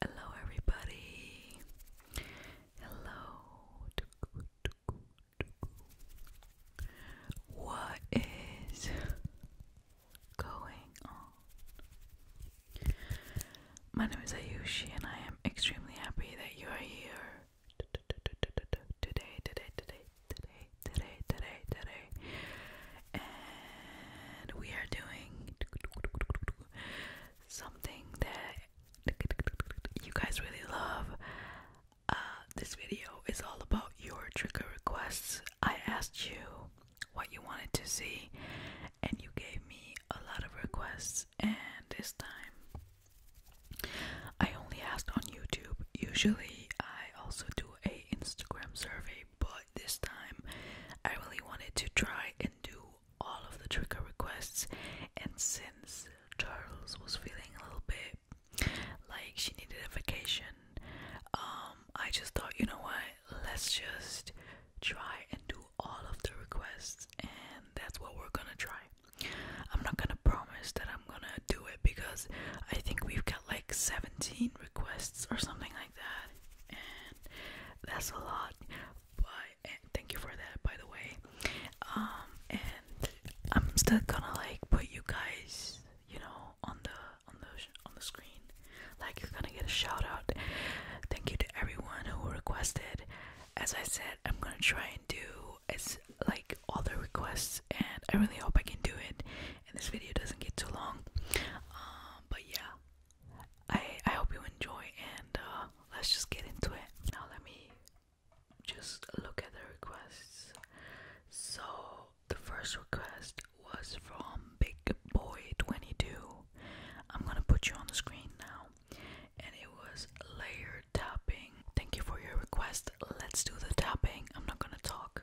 Hello, everybody. Hello. What is going on? My name is Ayushi, and I am extremely happy that you are here today, today, today, today, today, today, today. And we are doing something that you guys really love. Uh, this video is all about your trigger requests. I asked you what you wanted to see, and you gave me a lot of requests. And this time, I only asked on YouTube. Usually, I also do a Instagram survey, but this time, I really wanted to try and do all of the trigger requests. And since Charles was feeling a little bit like she needed a vacation, um, I just thought, you know what, let's just try and do all of the requests, and that's what we're gonna try. I'm not gonna promise that I'm gonna do it because I think we've got like 17 requests or something like that, and that's a lot. But eh, thank you for that, by the way. Um, and I'm still gonna like put you guys, you know, on the on the on the screen like you're gonna get a shout out. Thank you to everyone who requested. As I said, I'm gonna try and do as like all the requests, and I really hope I can do it. And this video doesn't get too long. Um, but yeah, I I hope you enjoy, and uh, let's just get into it. Now let me just look at the requests. So the first request was from Big Boy 22. I'm gonna put you on the screen now. And it was layer tapping. Thank you for your request. Let's do the tapping. I'm not gonna talk.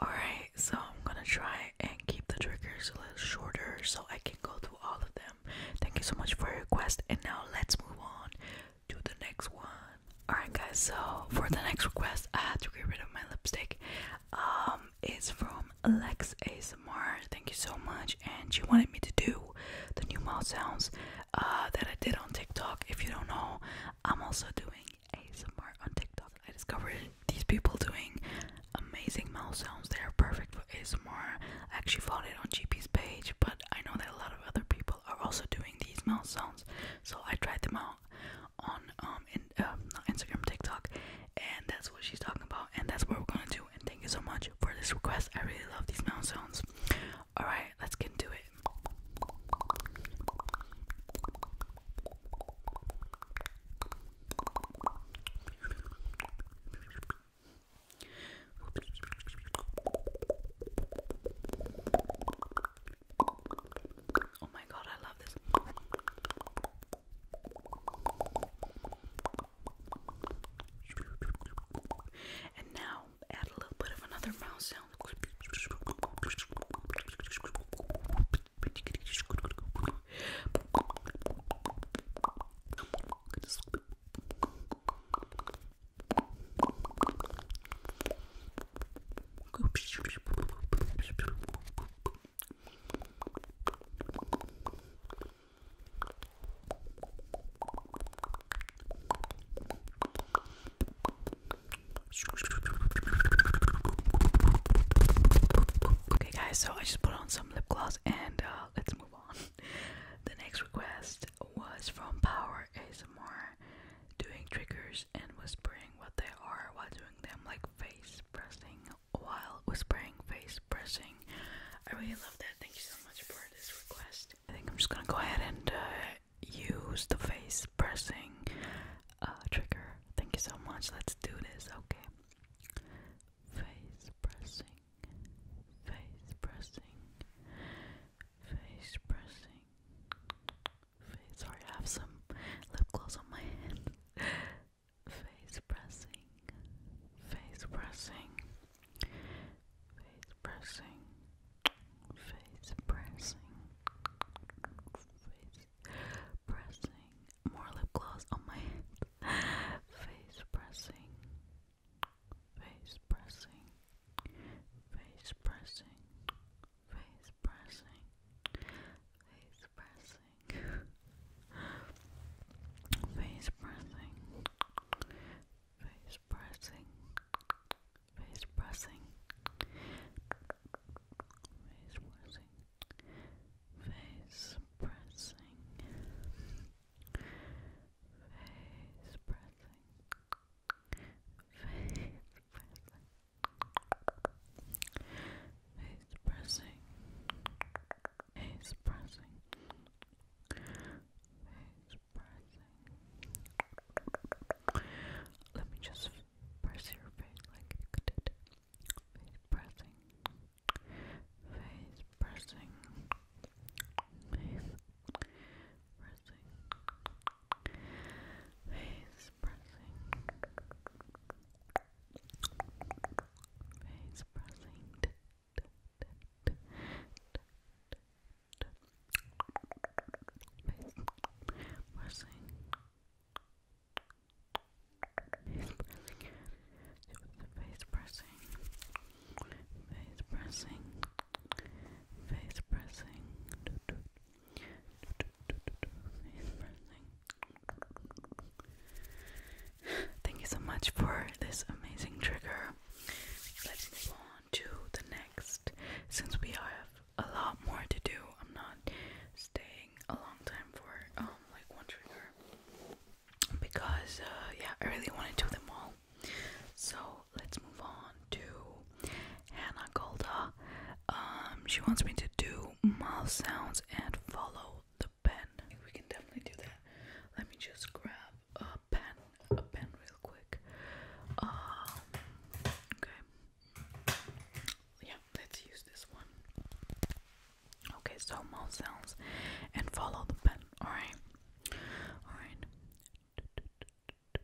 Alright, so I'm gonna try and keep the triggers a little shorter so I can go through all of them. Thank you so much for your request, and now let's move on to the next one. Alright guys, so for the next request I had to get rid of my lipstick. Um it's from Alex ASMR. Thank you so much. And she wanted me to do the new mouth sounds uh, that I did on TikTok. If you don't know, I'm also doing ASMR on TikTok. I discovered these people doing amazing mouth sounds. They are perfect for ASMR. actually found it on GP's page, but I know that a lot of other people are also doing these mouth sounds. So I tried them out on um, um, not Instagram, TikTok, and that's what she's talking about, and that's what we're gonna do. And thank you so much for this request. I really love these mouth sounds. All right, let's get into it. Oh my god, I love this. And now add a little bit of another mouth sound. Okay, guys, so I just put on some lip gloss and uh, let's move on. the next request was from Power ASMR doing triggers and whispering what they are while doing them, like face pressing while whispering, face pressing. I really love that. Thank you so much for this request. I think I'm just gonna go ahead and uh, use the face pressing uh, trigger. Thank you so much. Let's do this, okay? Face pressing, face pressing, face pressing face. Sorry, I have some lip gloss on my hand. face pressing, face pressing, face pressing, face pressing, face pressing. More lip gloss on my hand. face pressing, face pressing, face pressing face pressing, face pressing, face pressing, face pressing, face pressing, face pressing, face pressing, face pressing. Face pressing, Face pressing. Face pressing. Face pressing. Let me just press your face like you did. Face pressing. Face pressing. Face pressing. Face pressing. Face pressing. Face pressing. Face pressing. Face pressing. Face pressing. Face pressing. Thank you so much for this amazing trigger. Let's move on to the next. Since we have a lot more to do, I'm not staying a long time for um like one trigger because uh, yeah, I really want to do them all. So let's move on to Hannah Golda. Um, she wants me to do mouth sounds and follow the pen. we can definitely do that. Let me just grab a pen, a pen real quick. Um, okay. Yeah, let's use this one. Okay, so mouth sounds and follow the pen. Alright. Alright.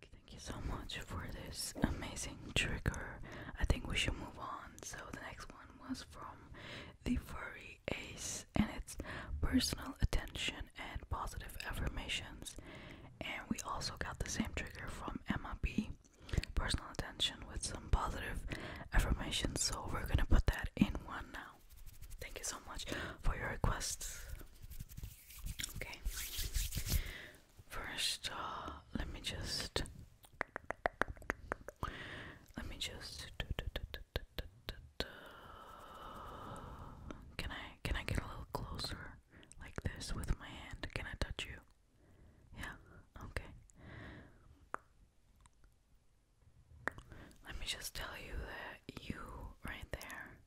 Thank you so much for this amazing trigger. I think we should move on. So the next one was from the furry ace, and it's personal attention and positive affirmations. And we also got the same trigger from Emma B. Personal attention with some positive affirmations. So we're gonna put that in one now. Thank you so much for your requests. Okay. First, uh, let me just. Let me just. Can I can I get a little closer like this with my hand? Can I touch you? Yeah. Okay. Let me just tell you that you right there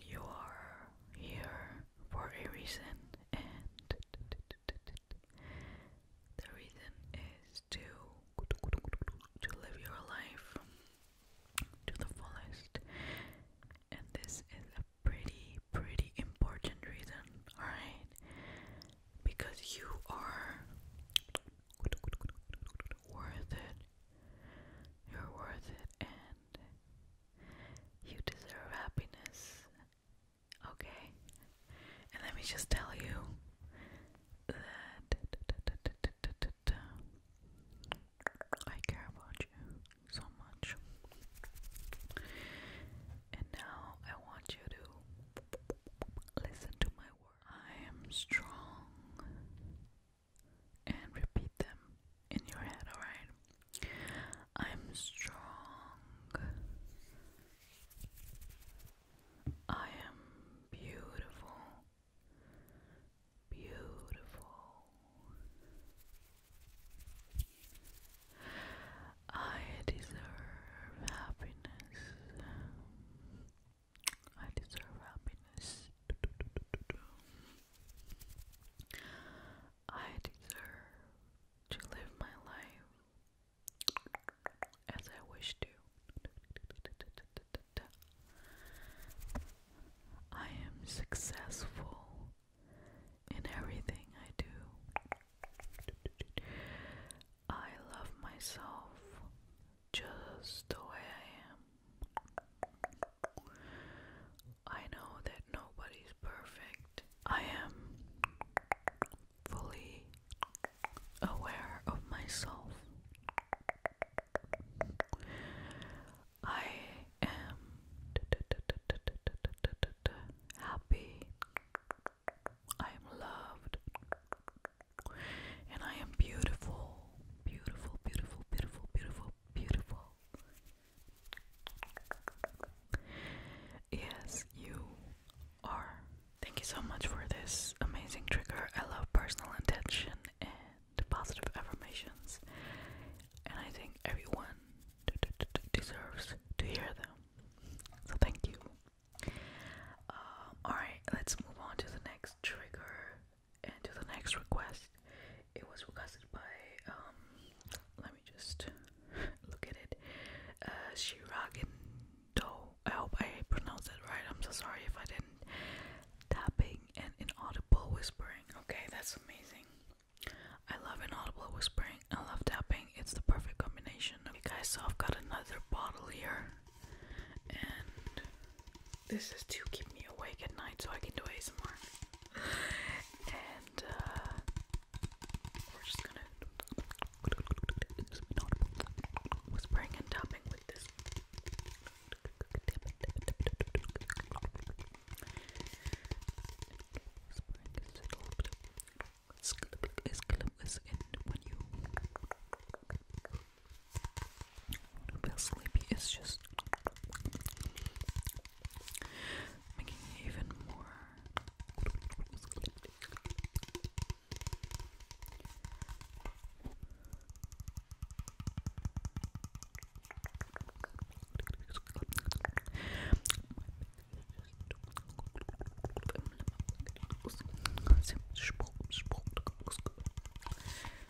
you are here for a reason, and the reason is to to live your life to the fullest. And this is a pretty, pretty important reason, alright? Because you are worth it. You're worth it, and you deserve happiness. Okay? And let me just tell you that I care about you so much. And now I want you to listen to my words. I am strong and repeat them in your head, alright? I'm strong. I am beautiful. Beautiful. I deserve happiness. I deserve happiness. I deserve to live my life as I wish to. I am successful in everything I do. I love myself just the way I am. I know that nobody's perfect. I am fully aware of myself. I am happy. I am loved. And I am beautiful. Beautiful, beautiful, beautiful, beautiful, beautiful. Yes, you are. Thank you so much for this amazing trigger. I love personal intention and positive affirmations, and I think everyone deserves to hear them. So, thank you. Um, Alright, let's move on to the next trigger and to the next request. It was requested by um let me just look at it. Uh Shiragendo. I hope I pronounced it right. I'm so sorry if I didn't. Tapping and inaudible whispering. Okay, that's amazing. I love inaudible whispering. I love tapping. It's the perfect combination. Okay guys, so I've got another bottle here. And this is to keep me awake at night so I can do ASMR. and uh, we're just gonna whispering and tapping with this. Whispering is is is when you feel sleepy. It's just making it even more.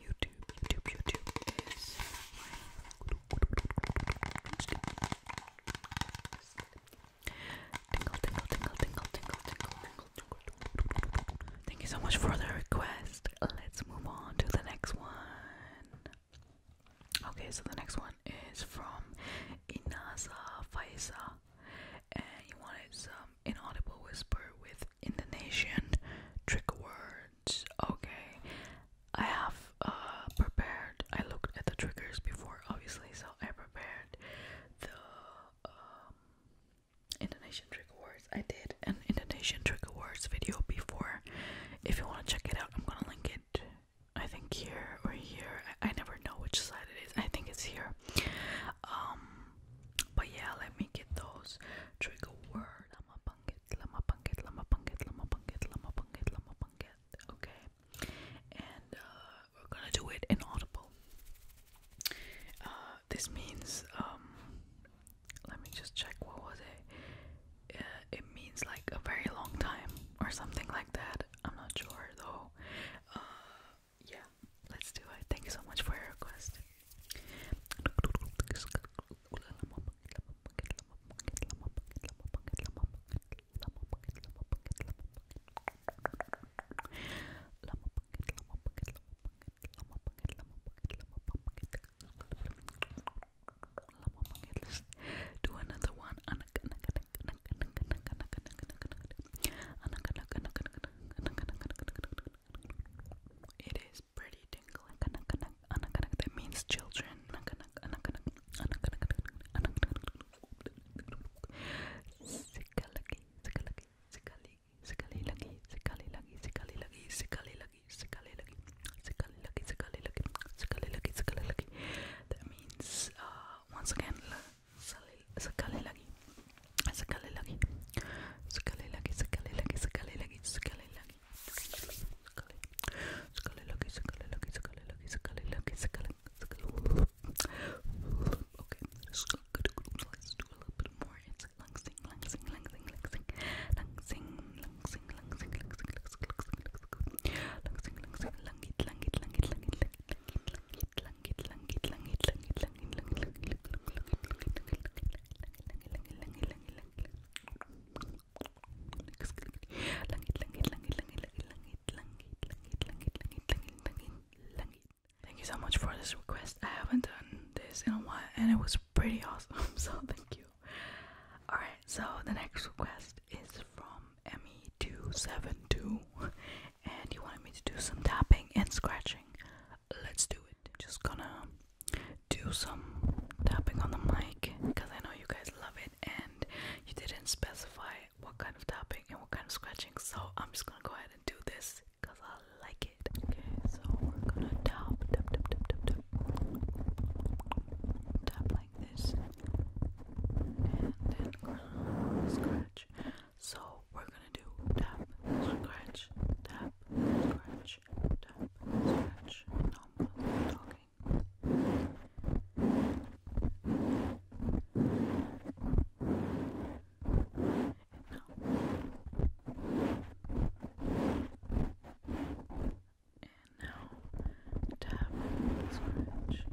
YouTube, YouTube, YouTube is tingle, tingle, tingle, tingle, tingle, tingle, tingle. Thank you so much for the request. Let's move on to the next one. Okay, so the next one is from Inasa Faisa, and you wanted some inaudible whisper with Indonesian trick words. Okay, I have uh, prepared. I looked at the triggers before, obviously, so I prepared the um, Indonesian trick words. I did an Indonesian trick words video before. If you want to check it out, I'm gonna link it I think here or here. I, never know which side it is. I think it's here. Um, but yeah, let me get those trigger word. Lama punget, lama punget, lama punget, lama punget, lama punget, lama punget. Okay, and uh, we're gonna do it in audible. Uh, this means um, let me just check. What was it? it means like a very long time or something like that. I'm not sure though. Uh, yeah, let's do it. Thank so much for your request. Let's do another one. It is pretty tingling. That means children. Sikali, sikali, sikali, sikali, sikali, sikali, sikali, sikali, sikali, sikali, Sikali lucky, sikali lucky, sikali lucky, sikali lucky. That means uh, once again, sikali lucky, sikali lucky, sikali lucky, sikali lucky, sikali lucky, sikali lucky, sikali lucky, sikali lucky, sikali lucky, sikali lucky, sikali lucky, Okay, let's do a little bit more. It's langsing, langsing, langsing, langsing, langsing, Thank you so much for this request. I haven't done this in a while and it was pretty awesome, so thank you. Alright, so the next request is from Me 272 and you wanted me to do some tapping and scratching. Let's do it. Just gonna do some tapping on the mic because I know you guys love it and you didn't specify what kind of tapping and what kind of scratching, so I'm just gonna go ahead and do this because I like it. Okay, so we're gonna tap, tap, tap, tap, tap, tap, like this and then scratch. So we're gonna do tap, scratch, tap, scratch, tap, scratch, normal talking. And now tap, scratch,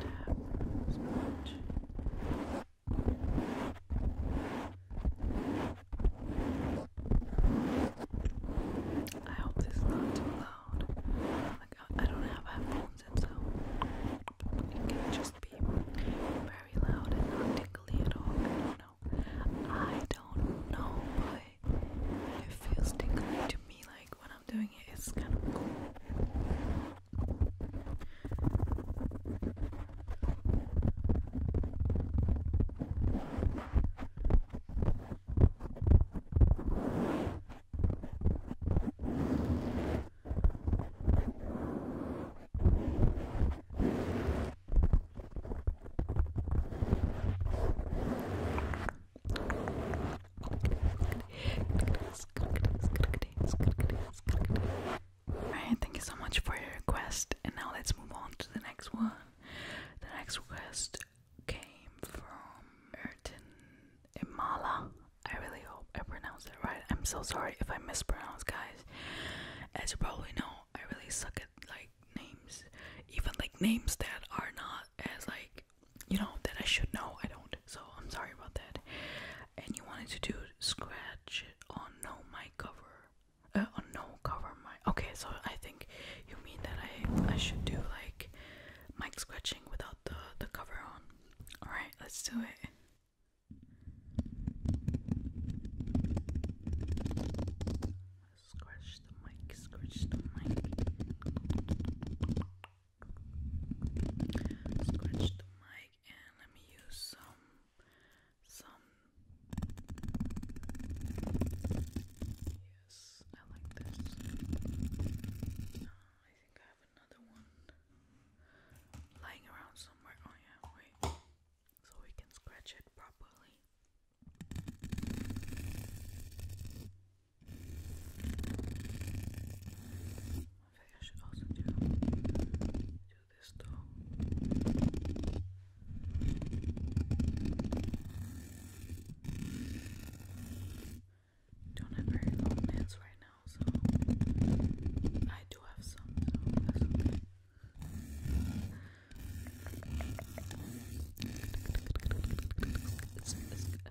tap, scratch. I hope this is not too loud. I, don't have headphones and so it can just be very loud not tingly at all. I know. I don't know, but it feels tingly to me like when doing it's kind of cool. Alright, thank you so much for your request, and now let's move on to the next one. The next request came from Ertin Imala. I really hope I pronounced it right. I'm so sorry if I mispronounced, guys. As you probably know, I really suck at like names, even like names that are not as like you know, that I should know. I don't. So I'm sorry about that. And you wanted to do scratch on no my cover. Uh, on no cover my. Okay, so I think you mean that I I should do like mic scratching without the the cover on. All right, let's do it. Scratch the mic, scratch the mic. Scratch the mic and let me use some some Yes, I like this. Uh, I think I have another one lying around somewhere. Oh yeah, wait. So we can scratch it properly. I think I should also do, do this though. Don't have very long nails right now, so I do have some, so that's okay.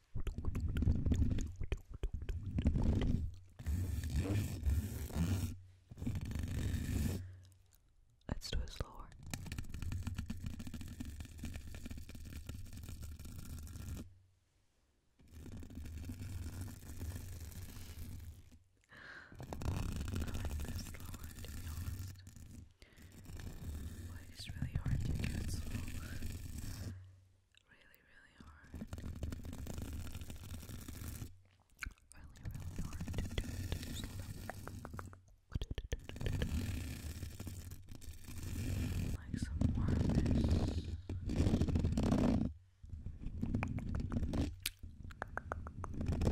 Let's do it slower. I like this slower to be honest. Like it's really hard to get slow really, really hard. Really, really hard to do it slow.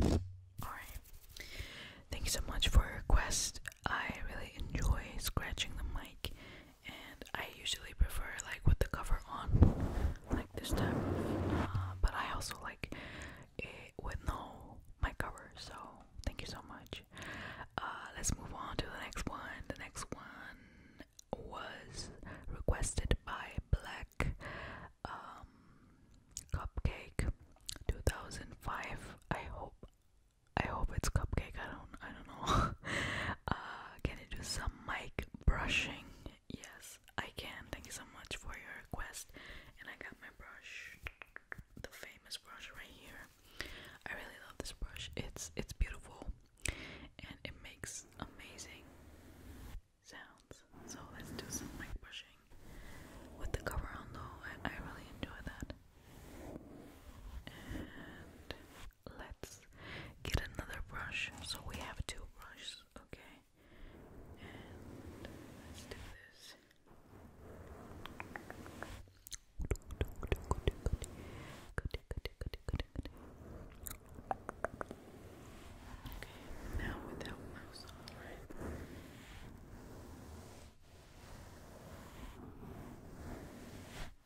Like Alright. Thank you so much for your request. I really enjoy scratching the mic and I usually prefer like with the cover on, like this time. Uh, but I also like it with no my cover. So thank you so much. Uh, let's move on to the next one. The next one was requested by Black um, Cupcake 2005. I hope I hope it's cupcake. I don't. I don't know. Uh, can I do some mic brushing? Yes, I can. Thank you so much for your request. And I got my brush, the famous brush right here. I really love this brush. It's it's beautiful, and it makes amazing sounds. So let's do some mic brushing with the cover on though. I really enjoy that let's get another brush. So we have two brushes, okay? And let's do this. Okay, now without mouse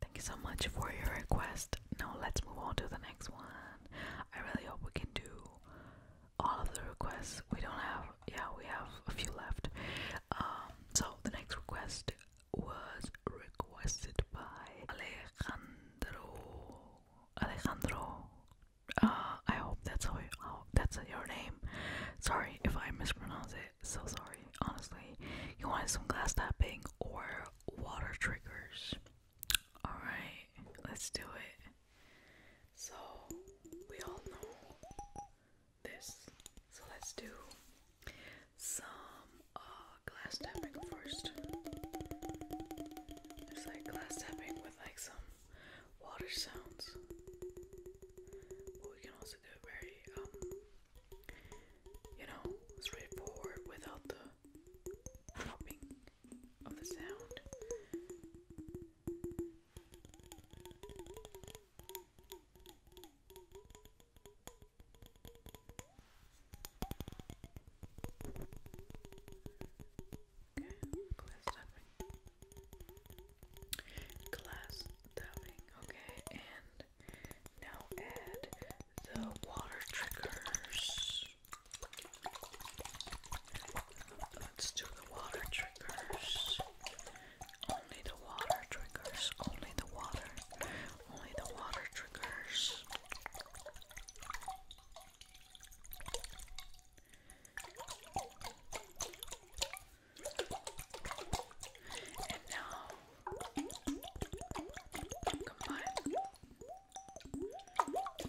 Thank you so much for your request. Now let's move on to the next one. I really hope we can do all of the requests. We don't have, yeah, we have a few left. Um, so the next request was requested by Alejandro. Alejandro. Uh, I hope that's how, that's your name. Sorry if I mispronounce it. So sorry. Honestly, you wanted some glass tapping or water triggers. All right, let's do it. So we all know this. So let's do some uh, glass tapping first. It's like glass tapping with like some water sounds. But we can also do very, um, you know, straightforward without the popping of the sound glass tapping. Glass tapping, okay, and now add the water triggers let's do the water triggers. Only the water triggers. Only the water. Only the water triggers. And now combine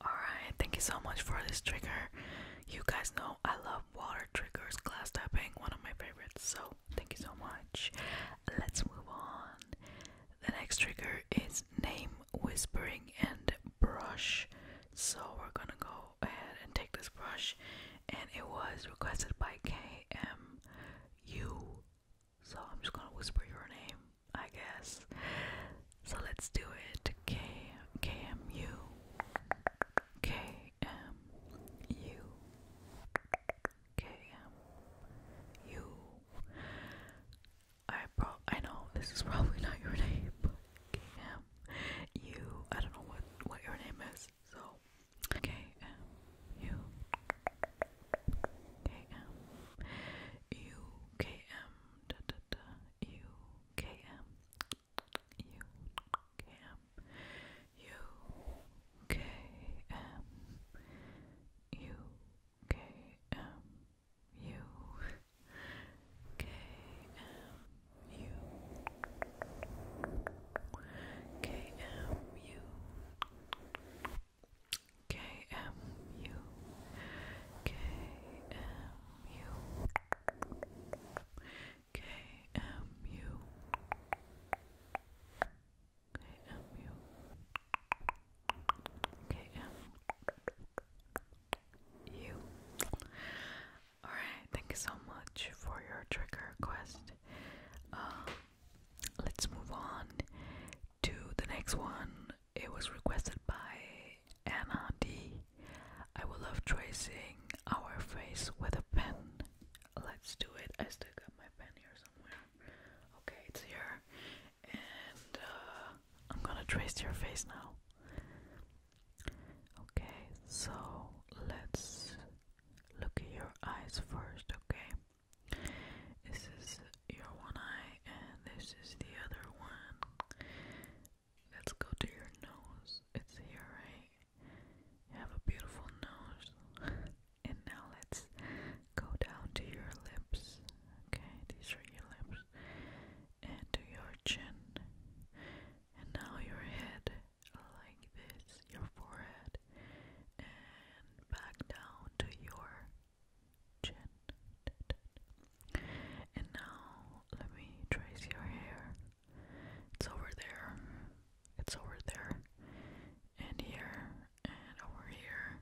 Alright, thank you so much for this trigger. You guys know I love water triggers, glass tapping, one of my favorites. So, thank you so much. Let's move on. The next trigger is name whispering and brush. So, we're gonna go ahead and take this brush, and it was requested by KMU so I'm just gonna whisper your name, I guess. So let's do it. K K M U K M U K M U. I pro I know this is probably not your name, K M U. I don't know what what your name is. So K M U K M UKM, da, da, da, UKM, KMU Alright, thank you so much for your trigger request. let's move on to the next one. It was requested by Anna D. I will love tracing our face with a pen. Let's do it. I still got my pen here somewhere. Okay, it's here. And uh, I'm gonna trace your face now. Okay, so let's look at your eyes first, okay? This is your one eye, and this is the other one. Let's go to your nose. It's here, right? You have a beautiful nose. and now let's go down to your lips. Okay, these are your lips. And to your chin. And now your head, like this, your forehead. And back down to your and now let me trace your hair. It's over there. It's over there. And here and over here.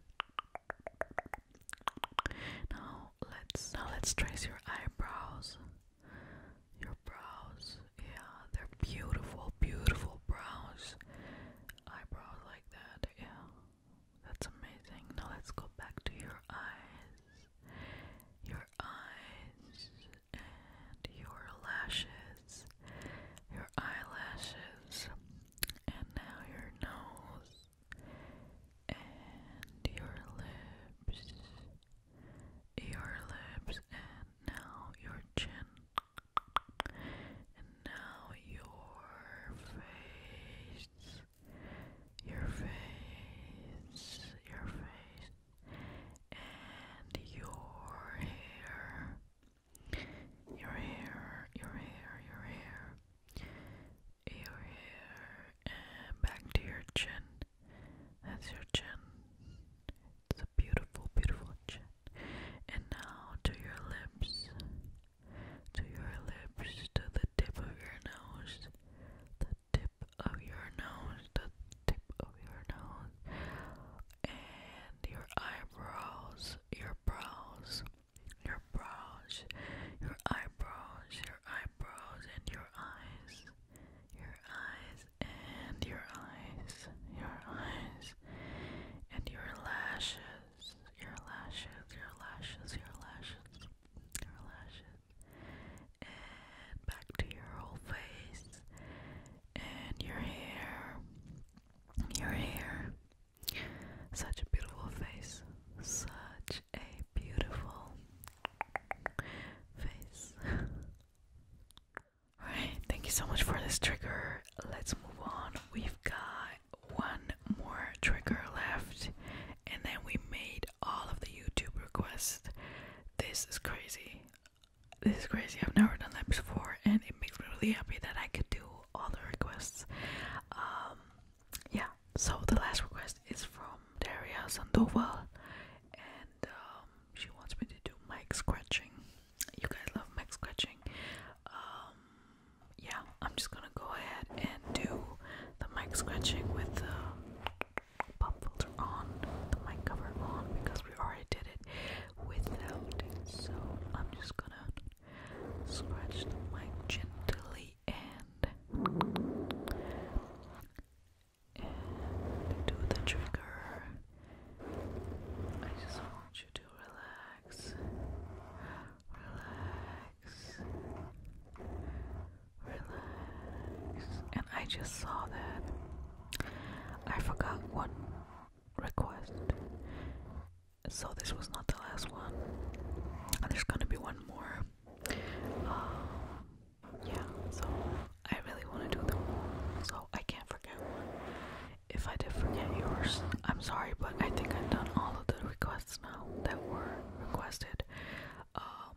Now let's now let's trace your eyebrows. Your brows. Yeah, they're beautiful, beautiful brows. Eyebrows like that. Yeah. That's amazing. Now let's go back to your eyes. Your eyes and your lashes. Your eyelashes. And now your nose. And your lips. Your lips and now your chin. And now your face your face, your face, and your hair. Your hair, your hair, your hair, your hair, and back to your chin. That's your chin. It's a beautiful, beautiful chin. And now to your lips, to your lips, to the tip of your nose, the tip of your nose, the tip of your nose, and your eyebrows, your brows, your brows, your eyebrows, your eyebrows, and your eyes, your eyes, and your eyes, your eyes, and your lashes your lashes, your lashes, your lashes, your lashes, and back to your whole face, and your hair, your hair. Such a beautiful face, such a beautiful face. Alright, thank you so much for this trigger. Let's move on. We've got one more trigger left, and then we made all of the YouTube requests. This is crazy. This is crazy. I've never done that before, and it makes me really happy that I could do all the requests. Um, yeah. So the last request is from Daria Sandoval, and um, she wants me to do mic scratching. You guys love mic scratching. Um, yeah, I'm just gonna go ahead and do the mic scratching with the pop filter on, the mic cover on, because we already did it without it. So I'm just gonna scratch the mic gently and do the trigger. I just want you to relax, relax relax. And I just saw that I forgot one request, so this was not the last one. And there's gonna be one more. Uh, yeah, so I really want to do them all, so I can't forget one. If I did forget yours, I'm sorry, but I think I've done all of the requests now that were requested um,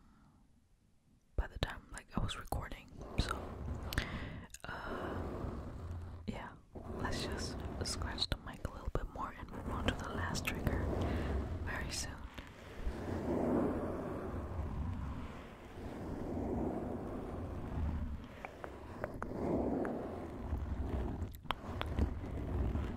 by the time like I was recording so uh, yeah let's just scratch the mic a little bit more and move on to the last trigger very soon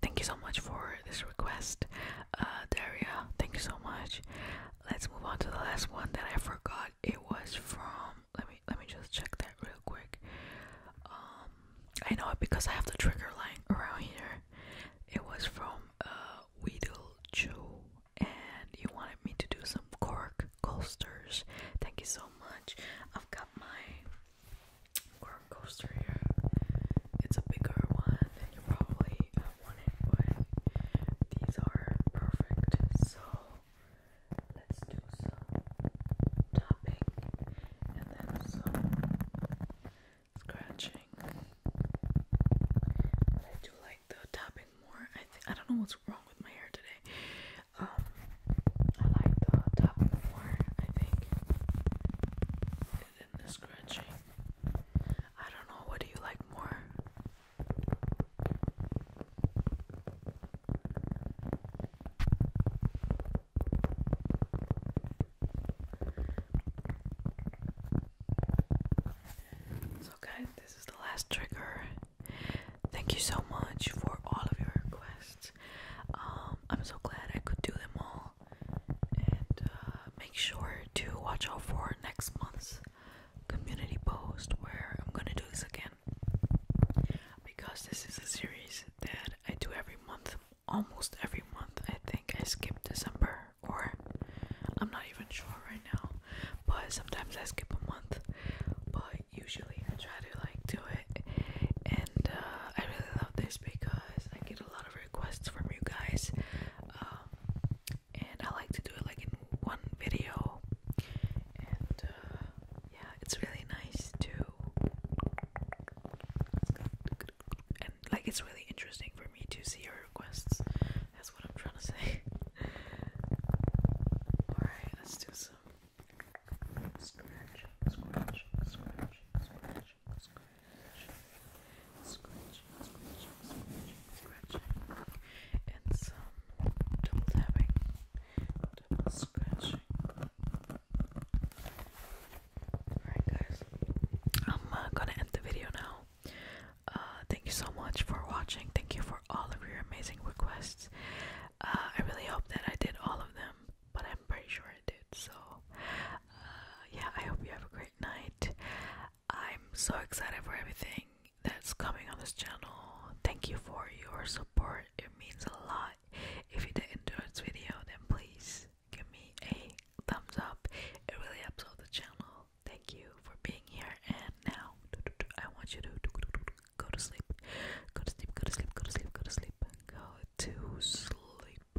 thank you so much for this request, uh, Daria. Thank you so much. Let's move on to the last one that I forgot. It was from. Let me let me just check that real quick. Um, I know it because I have the trigger line around here. It was from uh, Weedle Joe, and you wanted me to do some cork coasters. Thank you so much. I've got my roller coaster It's a bigger one than you probably uh, wanted, but these are perfect. So let's do some tapping and then some scratching. I do like the tapping more. I I don't know what's wrong with my hair today. Um, I like the tapping more. I think than the scratching. I don't know, what do you like more? So, guys, this is the last trigger. Thank you so much for all of your requests. Um, I'm so glad I could do them all and uh, make sure to watch out for next month's community post where I'm gonna do this again because this is a series that I do every month almost every month I think I skip December or I'm not even sure right now but sometimes I skip a month but usually I try to like do it and uh, I really love this because I get a lot requests from you guys, um, and I like to do it like in one video. And uh, yeah, it's really nice too, and like it's really interesting for me to see your requests. That's what I'm trying to say. Alright, let's do some scratching, scratching, scratching, Alright, guys, I'm gonna end the video now. Uh, thank you so much for watching. Thank you for all of your amazing requests. Uh, I really hope that I did all of them, but I'm pretty sure I did. So, uh, yeah, I hope you have a great night. I'm so excited for everything that's coming on this channel. Thank you for your support, it means a lot. If you did not do this video, then please give me a thumbs up, it really helps out the channel. Thank you for being here, and now I want you to Go to sleep, go to sleep, go to sleep, go to sleep, go to sleep. Go to sleep.